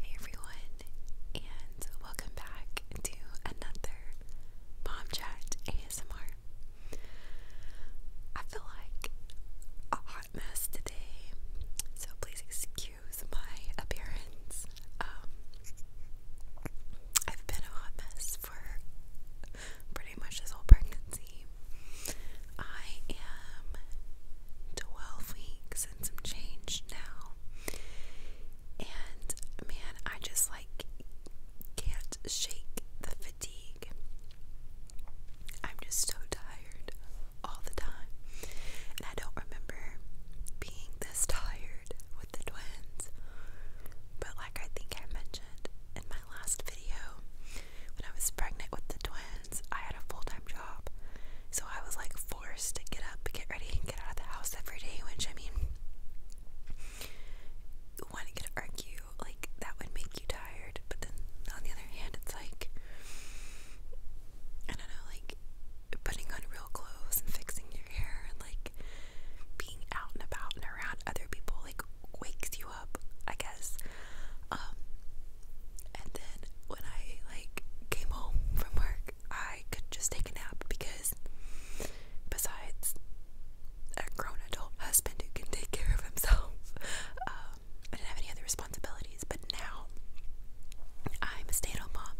Hey everyone, and welcome back to another Mom Chat ASMR. I feel like a hot mess today, so please excuse my appearance. Um, I've been a hot mess for pretty much this whole pregnancy. I am 12 weeks and some change now. And man, I just like can't shake the fatigue. I'm just so tired all the time. And I don't remember being this tired with the twins. But like I think I mentioned in my last video, when I was pregnant with the twins, I had a full time job. So I was like forced to get up, get ready, and get out of the house every day, which I mean, you want one could argue like that would make you tired, but then on the other hand, it's like, I don't know, like putting on real clothes and fixing your hair and like being out and about and around other people, like wakes you up, I guess. Um, and then when I like came home from work, I could just take a nap because besides a grown adult husband who can take care of himself, um, I didn't have any other responsibilities. But now I'm a stay at home mom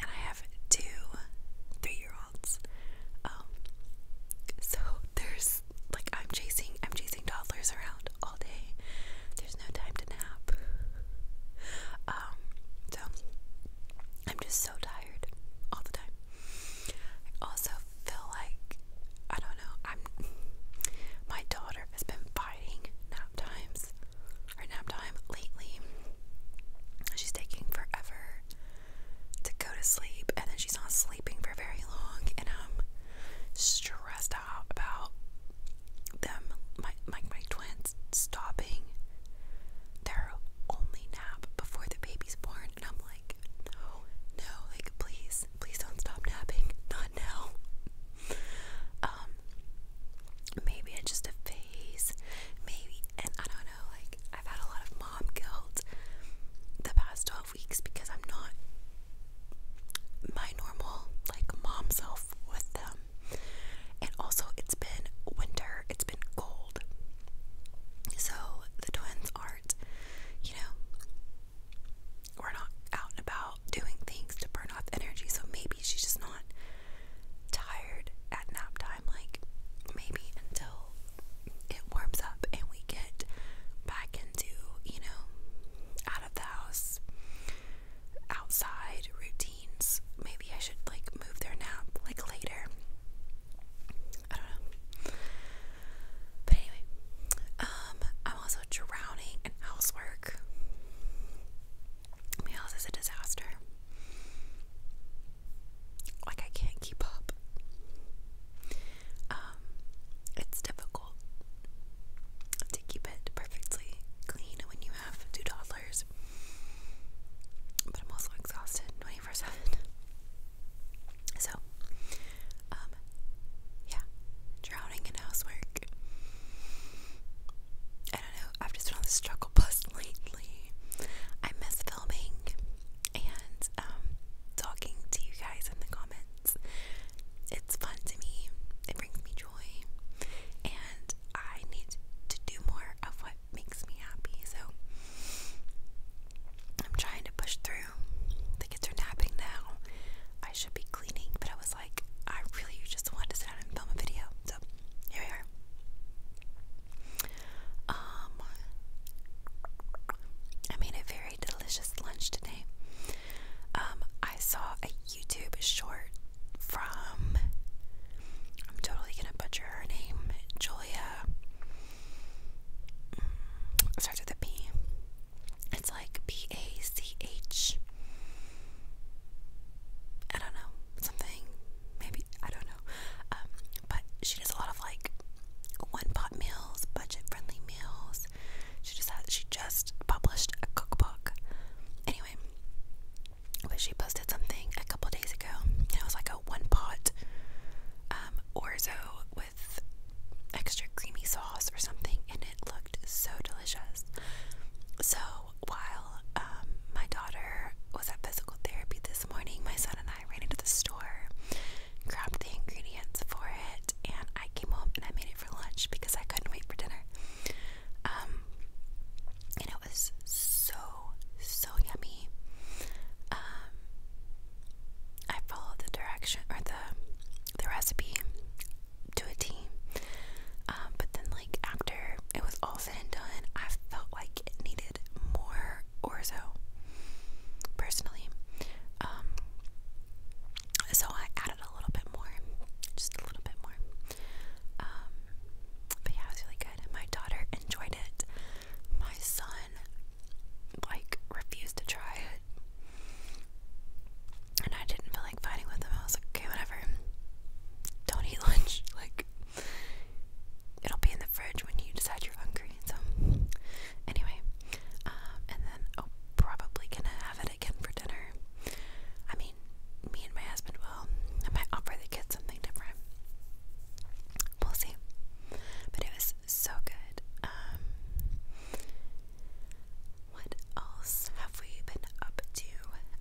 and I have two three year olds. Um, so there's like I'm chasing I'm chasing toddlers around all day. There's no time to nap. Um, so I'm just so tired all the time. I also feel like I don't know, I'm my daughter has been fighting nap times or nap time lately. She's taking forever to go to sleep and then she's not sleeping for very long and I'm stressed out about them my my my parents stopping their only nap before the baby's born, and I'm like, no, no, like please, please don't stop napping, not now. Um, maybe it's just a phase, maybe, and I don't know. Like I've had a lot of mom guilt the past twelve weeks because I'm not my normal like mom self with them and also, it's been winter, it's been cold. So, the twins aren't, you know, we're not out and about doing things to burn off energy. So, maybe she's just not tired at nap time. Like, maybe until it warms up and we get back into, you know, out of the house outside routines. Maybe I should like move their nap like later. I don't know. But anyway, um, I'm also drowning in housework. My house is a disaster. Like I can't keep up. Um, it's difficult to keep it perfectly clean when you have two toddlers. But I'm also exhausted 24 7. So, um, yeah, drowning in housework. I don't know, I've just been on the struggle bus lately. I miss filming and um, talking to you guys in the comments. It's fun to me, it brings me joy. And I need to do more of what makes me happy. So I'm trying to push through. The kids are napping now. I should be cleaning, but I was like, I really just wanted to sit down and film a video. So here we are. Um, I made a very delicious lunch today. Um, I saw a YouTube is short from I'm totally gonna butcher her name, Julia. Mm, starts with a P. It's like P A C H. I don't know something. Maybe I don't know. Um, but she does a lot of like one pot meals, budget friendly meals. She just has, she just published a cookbook. Anyway, but she posted something a couple days ago. It was like a one pot um, orzo with extra creamy sauce or something, and it looked so delicious. So while um, my daughter was at physical therapy this morning, my son and I ran into the store, grabbed the ingredients for it, and I came home and I made it for lunch because I couldn't wait for dinner. Um, and it was so, so yummy. Um, I followed the direction or the the recipe to a T. Um, but then, like after it was all said and done, I felt like it needed more orzo. Personally, um, so I added a little bit more, just a little bit more. Um, but yeah, it was really good. My daughter enjoyed it. My son, like, refused to try it. And I didn't feel like fighting with him. I was like, okay, whatever. Don't eat lunch. Like, it'll be in the fridge when you decide you're hungry. So, anyway, um, and then, oh, probably gonna have it again for dinner. I'm me and my husband will. I might offer the kids something different. We'll see. But it was so good. Um, what else have we been up to?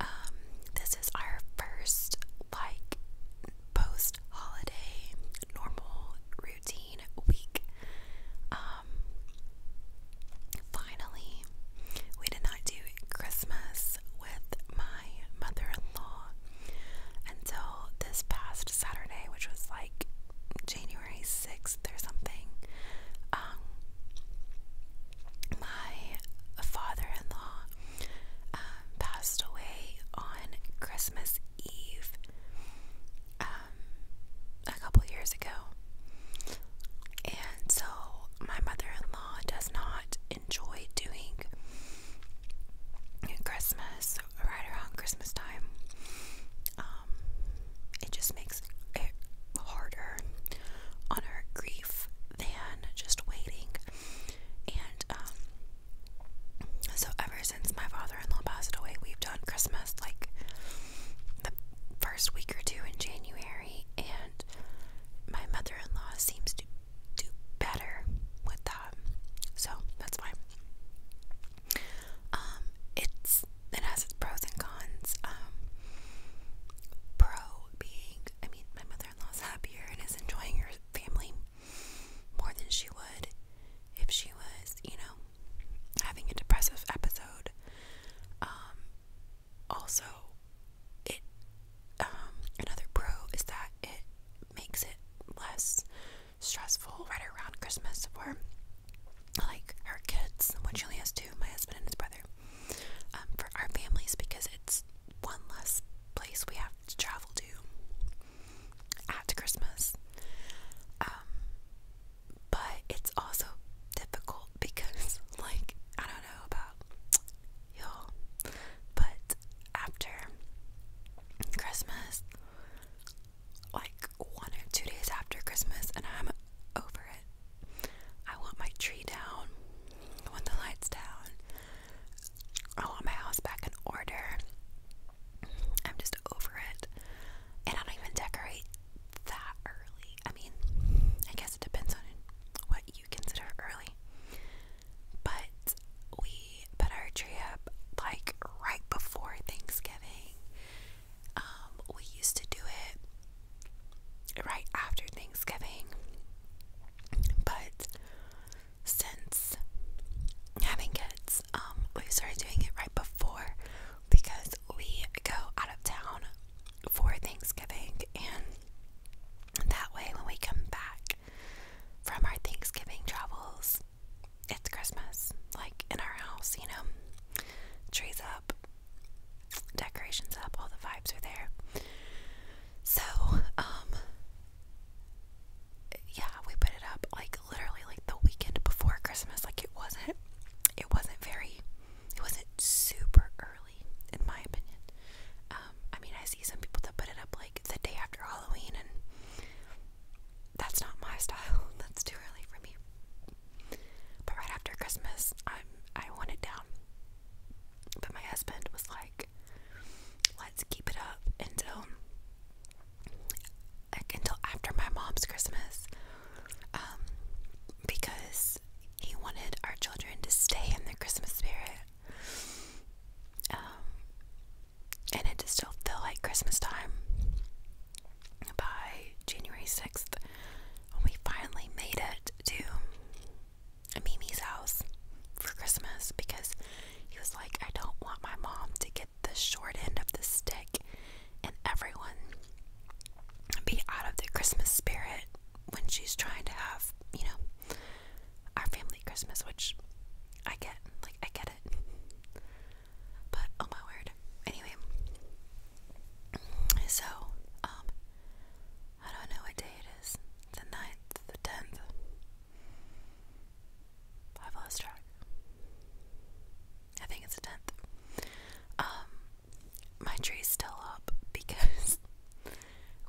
Um, this is our first like post holiday normal routine week. Um, finally, we did not do Christmas with my mother in law until this past Saturday, which was like January 6th or something. Um, my father in law um, passed away on Christmas Eve um, a couple years ago. And so my mother in law does not enjoy doing Christmas right around Christmas time. Um, it just makes it harder on her grief than just waiting. And um, so ever since my father in law passed away, we've done Christmas like the first week or two in January, and my mother in law seems to do better with that. So that's fine. Um, it's it has its pros and cons. Um, pro being I mean my mother in law is happier and is enjoying her family more than she would if she was, you know, having a depressive episode. Um, also it um, another pro is that it makes it less stressful right around Christmas for like our kids what only has two: my husband and his brother um, for our families because it's one less place we have to travel to at Christmas um, but it's also difficult because like I don't know about you But after Christmas, like one or two days after Christmas, and I'm over it. I want my tree down. I want the lights down. I want my house back in order. I'm just over it. And I don't even decorate that early. I mean, I guess it depends on what you consider early. But we put our tree up like right before Thanksgiving. Um, we used to do it right after Thanksgiving. But since having kids, um, we started doing it right before because we go out of town for Thanksgiving and that way, when we come back from our Thanksgiving travels, it's Christmas, like in our house, you know, trees up, decorations up, all the vibes are there. So, um, yeah, we put it up like literally like the weekend before Christmas. Like it wasn't, it wasn't very, it wasn't super early in my opinion. Um, I mean, I see some people that put it up like the day after Halloween, and that's not my style. That's too early for me. But right after Christmas, i I want it down. But my husband was like, "Let's keep it up until like until after my mom's Christmas," um, because he wanted our children to stay in the Christmas spirit um, and it just still feel like Christmas time. By January 6th, when we finally made it to Mimi's house for Christmas because he was like, I don't want my mom to get the short end of the stick and everyone be out of the Christmas spirit when she's trying to have, you know, our family Christmas, which I get. Like, I get it. But, oh my word. Anyway. So, um, I don't know what day it is. The ninth, the 10th. I've lost track. I think it's the 10th. Um, my tree's still up because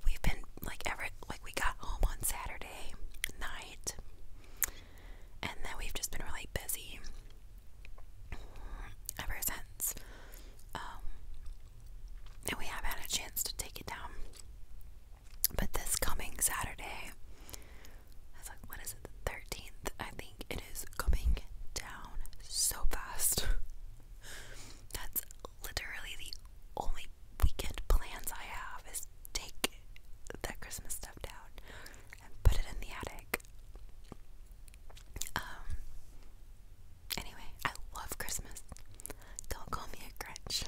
we've been like ever like we got home on Saturday night and then we've just been really busy ever since. Um and we haven't had a chance to take it down. But this coming Saturday that's like what is it, the thirteenth? I think it is coming down so fast. That's literally the only weekend plans I have is take that Christmas stuff down and put it in the attic. Um anyway, I love Christmas. Don't call me a Grinch.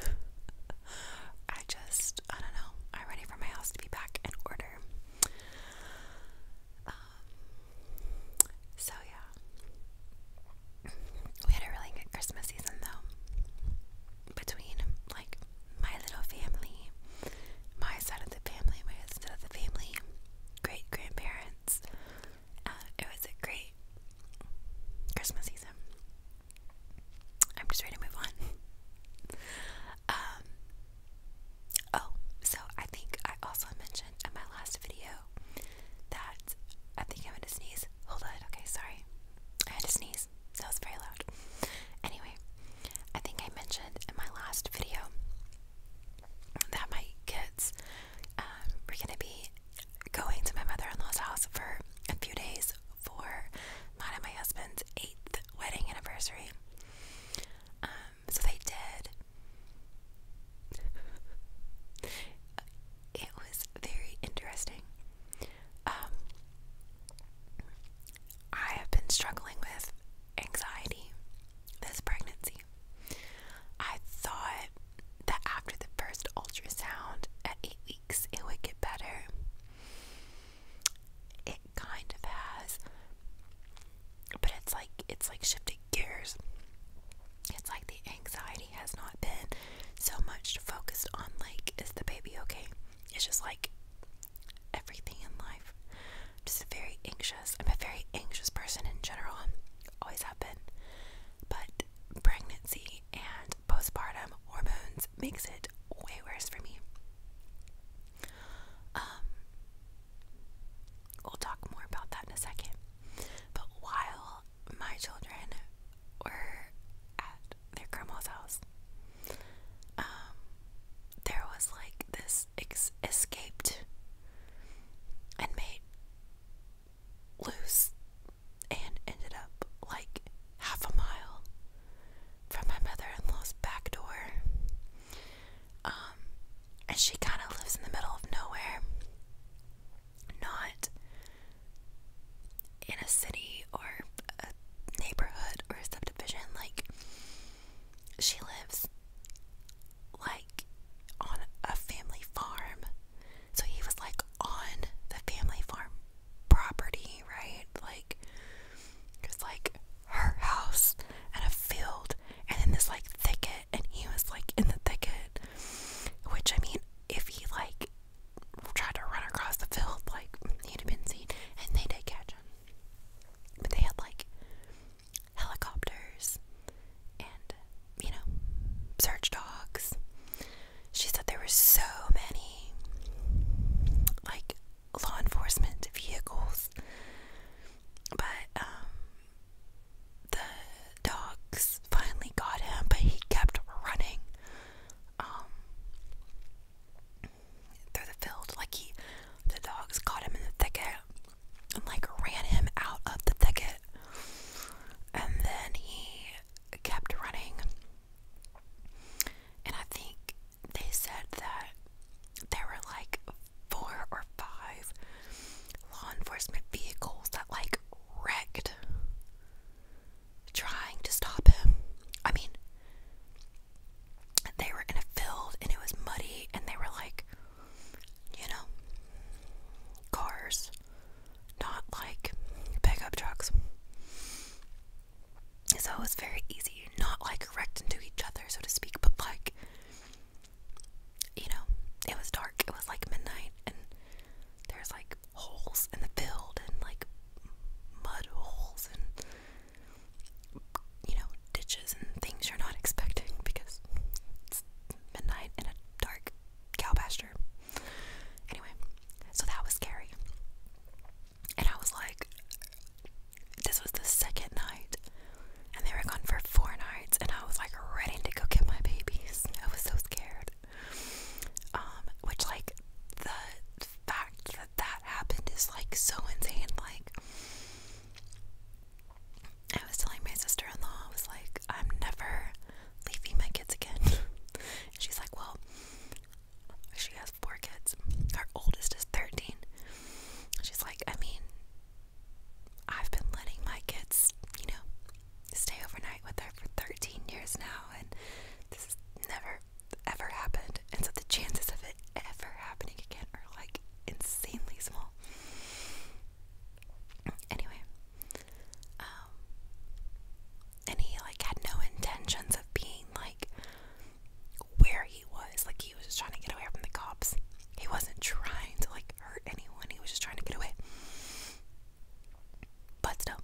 I just I don't know. I'm ready for my house to be back in order. Um so yeah we had a really good Christmas season though. Between like my little family, my side of the family, my side of the family, great grandparents. Uh, it was a great Christmas season. I'm just ready to move on. um, oh, so I think I also mentioned in my last video that I think I'm gonna sneeze. Hold on, okay, sorry. I had to sneeze. That was very loud. Anyway, I think I mentioned in my last video that my kids um, were gonna be going to my mother-in-law's house for a few days for mine and my husband's eighth wedding anniversary. Um, so they did. it was very interesting. Um, I have been struggling with anxiety this pregnancy. I thought that after the first ultrasound at eight weeks, it would get better. It kind of has, but it's like it's like shifting gears. It's like the anxiety has not been so much focused on like is the baby okay? It's just like everything in life. just very anxious. I'm a very anxious person in general. Always have been. But pregnancy and postpartum hormones makes it way worse for me. Um we'll talk more about that in a second. But while my children were at their grandma's house. Um, there was like this ex escaped and made loose and ended up like half a mile from my mother-in-law's back door. Um, and she kind of lives in the middle of nowhere not in a city or a neighborhood or a subdivision. Like, she lives like on a family farm. So he was like on the family farm property, right? Like, it like her house and a field and then this like thicket, and he was like in the thicket, which I mean, if he like tried to run across the field, like he'd have been seen, and they did catch him. But they had like helicopters and you know search dogs. She said there were so many like law enforcement vehicles, but um, the dogs finally got him, but he kept running um, through the field. Like he, the dogs caught him in the thicket and like ran him out of the thicket, and then he kept running. And I think they said that there were like four or five law enforcement vehicles that like wrecked trying to stop him. I mean, they were in a field and it was muddy, and they were like, you know, cars, not like pickup trucks. So it was very easy, not like wrecked into each other, so to speak, but like, you know, it was dark. It was like midnight, and there's like holes in the field and like mud holes and you know ditches and things you're not expecting because it's midnight in a dark cow pasture. Anyway, so that was scary. And I was like, this was the second night, and they were gone for four nights, and I was like ready to go get my babies. I was so scared. Um, which like the fact that that happened is like so insane. Like, I was telling my sister-in-law, I was like, I'm never leaving my kids again. she's like, well, she has four kids. Our oldest is 13. She's like, I mean, I've been letting my kids, you know, stay overnight with her for 13 years now, and this has never ever happened. And so the chances of it ever happening again are like insanely small. Anyway, um, and he like had no intentions of being like where he was. Like he was just trying to get away from the cops. He wasn't trying to like hurt anyone. He was just trying to get away but still.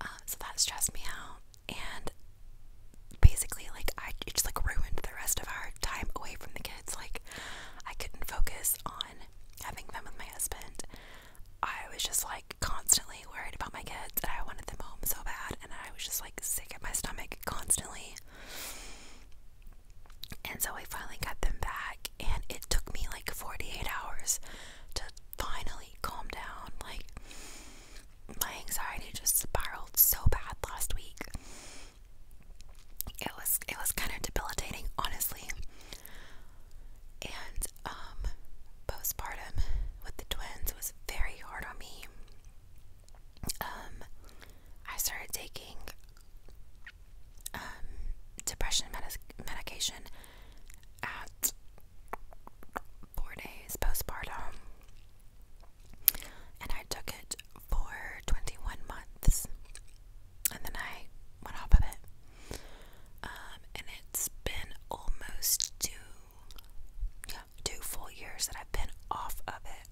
Uh, so that stressed me out, and basically, like I just like ruined the rest of our time away from the kids. Like I couldn't focus on having them with my husband. I was just like constantly worried about my kids, and I wanted them home so bad, and I was just like sick at my stomach constantly. And so I finally got them back, and it took me like 48 hours to finally calm down. Like, my anxiety just spiraled so bad last week. It was it was kind of debilitating, honestly. And um, postpartum with the twins was very hard on me. Um, I started taking um, depression medic medication at four days postpartum, and I took it for 21 months, and then I went off of it. Um, and it's been almost two, two full years that I've been off of it.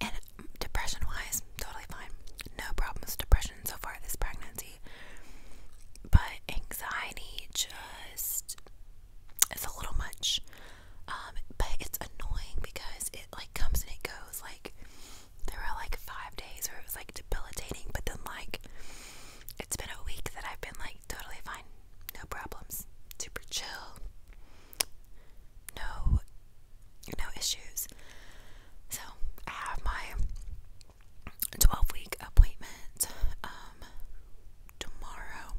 And depression wise, totally fine. No problems depression so far this pregnancy. But anxiety just its a little much. Um, but it's annoying because it like comes and it goes. Like there were like five days where it was like debilitating, but then like it's been a week that I've been like totally fine, no problems, super chill, no no issues. So I have my 12 week appointment um, tomorrow,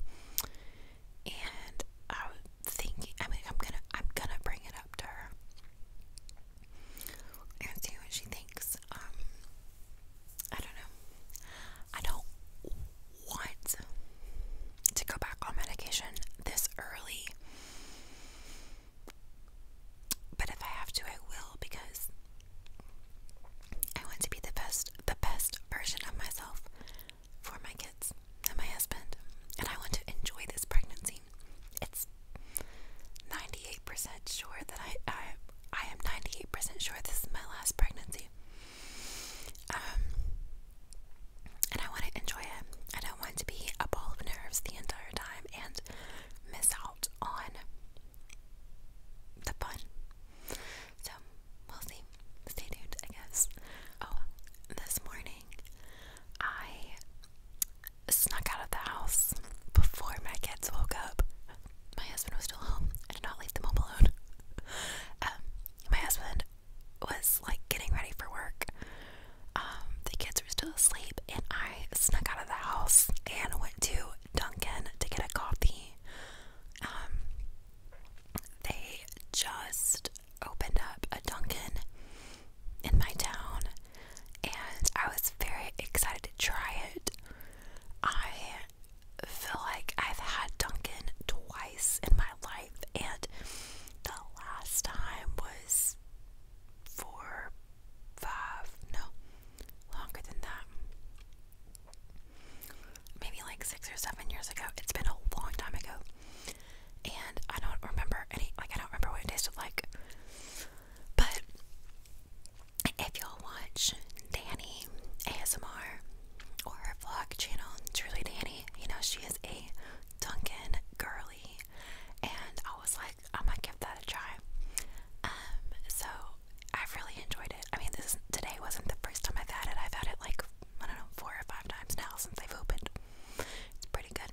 and I'm thinking I mean I'm gonna I'm gonna bring it up to her and see what she thinks. Um, I don't know. I don't want to go back on medication this early. But if I have to, I will because I want to be the best the best version of myself for my kids and my husband. And I want to enjoy this pregnancy. It's 98% sure that I, I I am 98% sure this is my last pregnancy. Um and I want to enjoy it. I don't want to be a ball of nerves the entire time and miss out on the fun. So we'll see. Stay tuned, I guess. Oh, this morning I snuck out of the house before my kids woke up. My husband was still home. I did not leave them home alone. Um, my husband was like getting ready for work um, the kids were still asleep, and I snuck out of the house and went to Dunkin' to get a coffee. Um, they just opened up a Dunkin' in my town, and I was very excited to try it. I feel like I've had Dunkin' twice in my life, and the last time was four, five, no, longer than that. Maybe like six or seven years ago. It's been a long time ago. And I don't remember any, like, I don't remember what it tasted like. But if y'all watch Danny ASMR or her vlog channel, Truly Danny, you know, she is a Duncan girly. And I was I'm gonna give that a try. Um, so I've really enjoyed it. I mean, this today wasn't the first time I've had it. I've had it like I don't know four or five times now since I've opened. It's pretty good.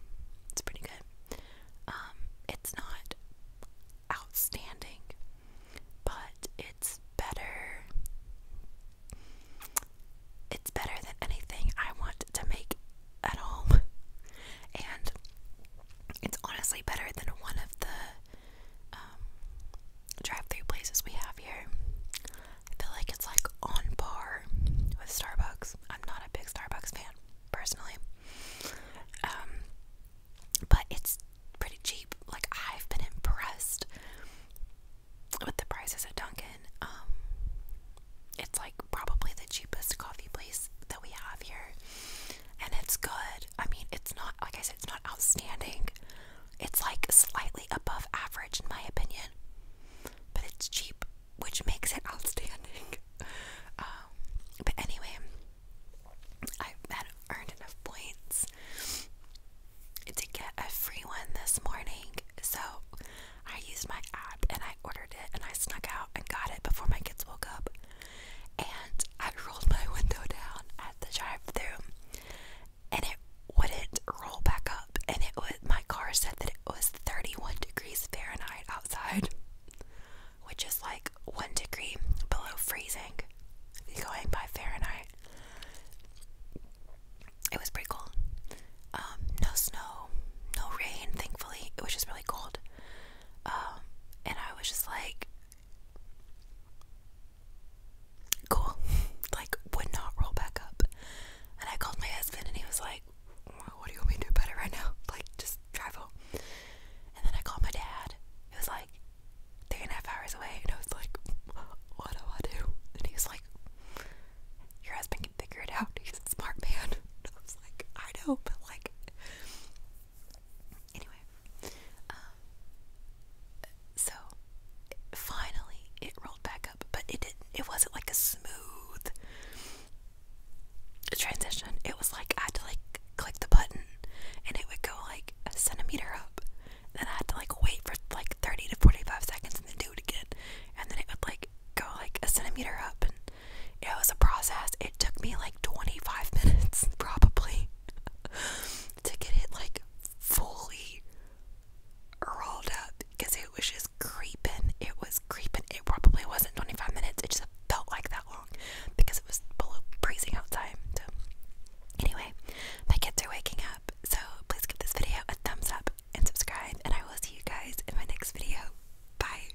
It's pretty good. Um, it's not outstanding, but it's better. It's better than anything I want to make at home, and it's honestly better than one of the um, drive-through places we have here. I feel like it's like on par with Starbucks. I'm not a big Starbucks fan personally, um, but it's pretty cheap. Like I've been impressed with the prices at Dunkin'. Um, it's like probably the cheapest coffee place that we have here. And it's good. I mean, it's not, like I said, it's not outstanding. It's like slightly above average, in my opinion. But it's cheap, which makes it outstanding. Um, but anyway, I've earned enough points to get a free one this morning. So I used my app and I ordered it and I snuck out and got it before my kids woke up and I rolled my window down at the drive-through, and it wouldn't roll back up. And it was my car said that it was 31 degrees Fahrenheit outside, which is like one degree below freezing. going by Fahrenheit, it was pretty cool. Um, no snow, no rain. Thankfully, it was just really cold. Um, and I was just like, cool, like, would not roll back up. And I called my husband, and he was like, What do you want me to do better right now? Like, just travel." And then I called my dad, it was like three and a half hours away, and I was like, What do I do? And he was like, Your husband can figure it out, he's a smart man. I was like, I know, but like, Anyway, um, so it, finally it rolled back up, but it didn't. It wasn't like a smooth transition. It was like I had to like click the button, and it would go like a centimeter up. Then I had to like wait for like thirty to forty-five seconds, and then do it again. And then it would like go like a centimeter up, and it was a process. It took me like 25 minutes, probably, to get it like fully rolled up because it was just creeping. It was creeping. It probably wasn't 25 minutes. It just felt like that long because it was below freezing outside. So, anyway, my kids are waking up. So, please give this video a thumbs up and subscribe. And I will see you guys in my next video. Bye.